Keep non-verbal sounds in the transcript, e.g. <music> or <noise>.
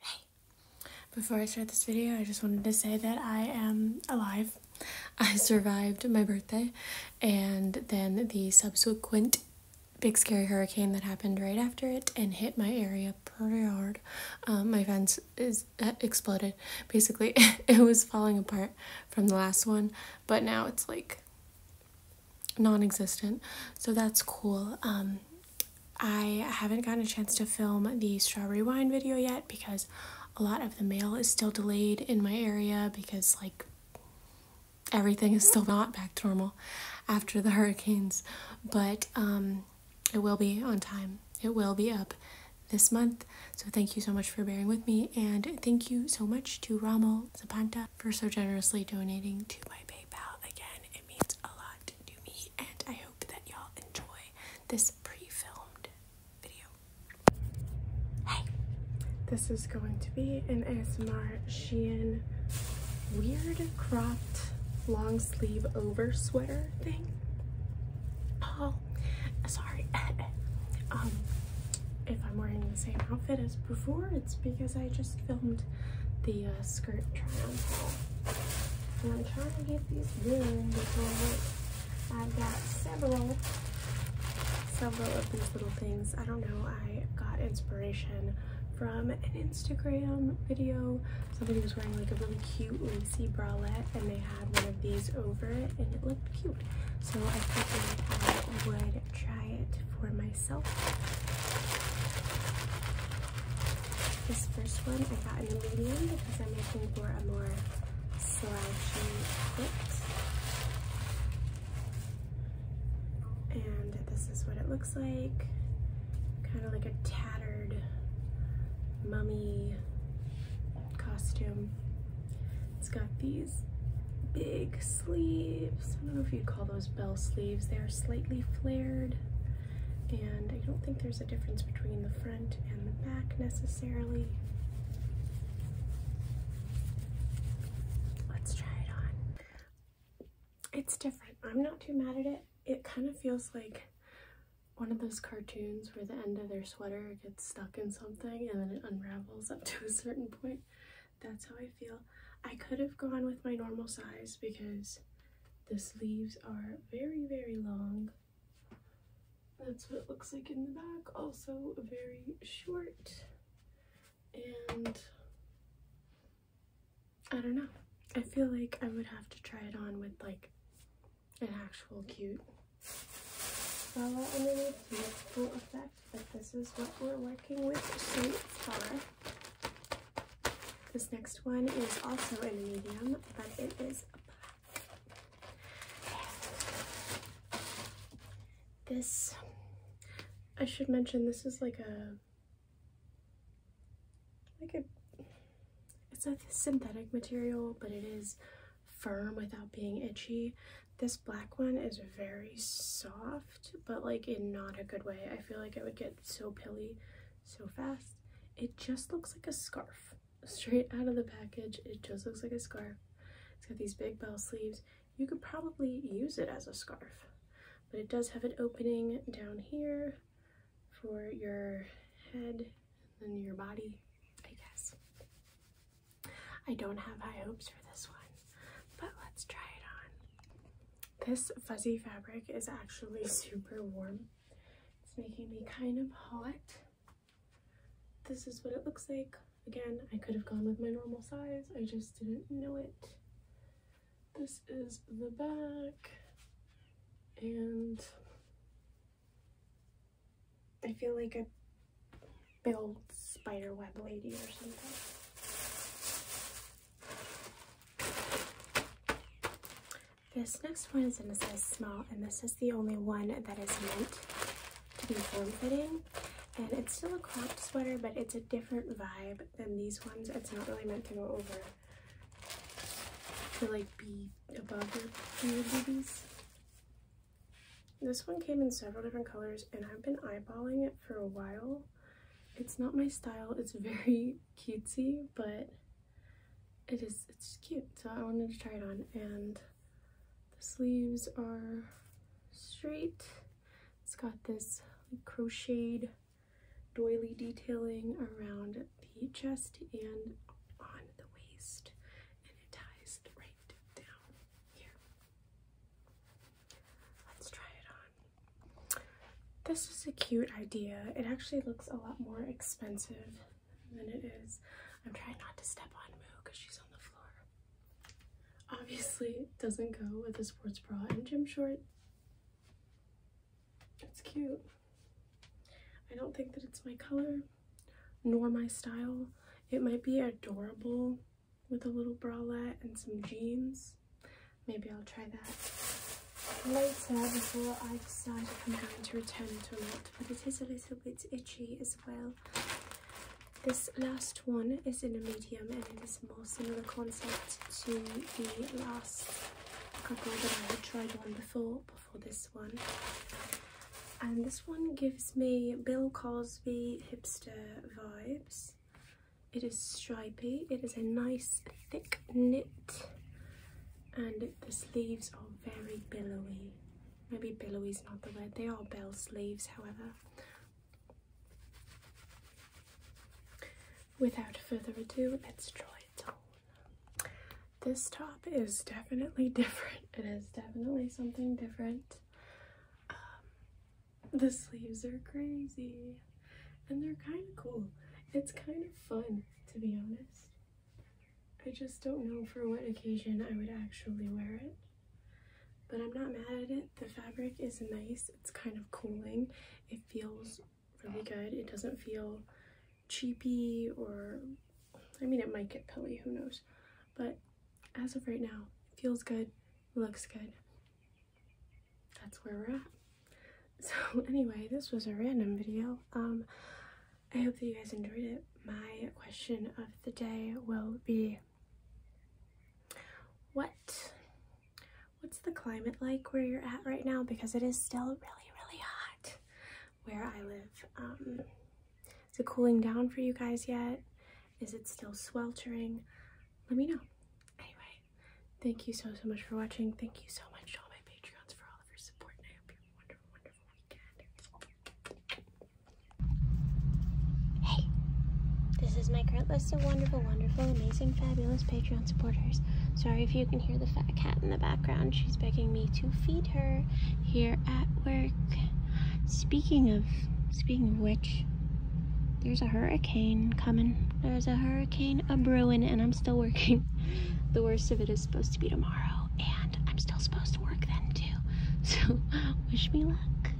Hey. Before I start this video, I just wanted to say that I am alive. I survived my birthday and then the subsequent big scary hurricane that happened right after it and hit my area pretty hard. Um, my fence is uh, exploded. Basically, <laughs> it was falling apart from the last one, but now it's like non-existent. So that's cool. Um, I haven't gotten a chance to film the strawberry wine video yet because a lot of the mail is still delayed in my area because like everything is still not back to normal after the hurricanes but um, it will be on time it will be up this month so thank you so much for bearing with me and thank you so much to Rommel Zapanta for so generously donating to my PayPal. Again, it means a lot to me, and I hope that y'all enjoy this pre filmed video. Hey! This is going to be an ASMR weird cropped long sleeve over sweater thing. Oh, sorry. <laughs> um, if I'm wearing the same outfit as before, it's because I just filmed the uh, skirt triangle. I'm trying to get these done because I've got several, several of these little things. I don't know, I got inspiration from an Instagram video. Somebody was wearing like a really cute lacy bralette and they had one of these over it and it looked cute. So I figured I would try it for myself. This first one I got in a medium because I'm looking for a more slouchy fit. And this is what it looks like. Kind of like a tattered mummy costume. It's got these big sleeves. I don't know if you'd call those bell sleeves. They are slightly flared. And I don't think there's a difference between the front and the back necessarily. Let's try it on. It's different. I'm not too mad at it. It kind of feels like one of those cartoons where the end of their sweater gets stuck in something and then it unravels up to a certain point that's how I feel. I could have gone with my normal size because the sleeves are very, very long. That's what it looks like in the back. Also very short. And I don't know. I feel like I would have to try it on with like an actual cute follow underneath to get full effect, but this is what we're working with so far. This next one is also in a medium, but it is black. This, I should mention, this is like a, like a, it's a synthetic material, but it is firm without being itchy. This black one is very soft, but like in not a good way. I feel like it would get so pilly so fast. It just looks like a scarf. Straight out of the package, it just looks like a scarf. It's got these big bell sleeves. You could probably use it as a scarf, but it does have an opening down here for your head and then your body, I guess. I don't have high hopes for this one, but let's try it on. This fuzzy fabric is actually super warm. It's making me kind of hot. This is what it looks like. Again, I could have gone with my normal size. I just didn't know it. This is the back and I feel like a spider web lady or something. This next one is in a size small, and this is the only one that is meant to be form-fitting. And it's still a cropped sweater, but it's a different vibe than these ones. It's not really meant to go over to like be above your, your This one came in several different colors and I've been eyeballing it for a while. It's not my style, it's very <laughs> cutesy, but it is, it's cute. So I wanted to try it on and the sleeves are straight. It's got this crocheted doily detailing around it the chest and on the waist, and it ties right down here. Let's try it on. This is a cute idea. It actually looks a lot more expensive than it is. I'm trying not to step on Moo because she's on the floor. Obviously, doesn't go with a sports bra and gym shorts. It's cute. I don't think that it's my color nor my style. It might be adorable with a little bralette and some jeans. Maybe I'll try that later before I decide if I'm going to return it or not. But it is a little bit itchy as well. This last one is in a medium and it is more similar concept to the last couple that I had tried on before, before this one. And this one gives me Bill Cosby hipster vibes. It is stripy, it is a nice thick knit and the sleeves are very billowy. Maybe billowy is not the word, they are bell sleeves however without further ado, let's try it on. This top is definitely <laughs> different. It is definitely something different. Um, the sleeves are crazy and they're kind of cool. It's kind of fun, to be honest. I just don't know for what occasion I would actually wear it. But I'm not mad at it. The fabric is nice. It's kind of cooling. It feels really good. It doesn't feel cheapy or, I mean, it might get pilly, who knows. But as of right now, feels good, looks good. That's where we're at. <laughs> So anyway, this was a random video. Um, I hope that you guys enjoyed it. My question of the day will be, what what's the climate like where you're at right now because it is still really really hot where I live. Um, is it cooling down for you guys yet? Is it still sweltering? Let me know. Anyway, thank you so so much for watching. Thank you so much to all my Patreons for all of your support and I hope you have a wonderful wonderful weekend. Hey, this is my current host wonderful, wonderful, amazing, fabulous Patreon supporters. Sorry if you can hear the fat cat in the background. She's begging me to feed her here at work. Speaking of, speaking of which, there's a hurricane coming. There's a hurricane a brewing, and I'm still working. <laughs> The worst of it is supposed to be tomorrow, and I'm still supposed to work then too. <laughs> So wish me luck.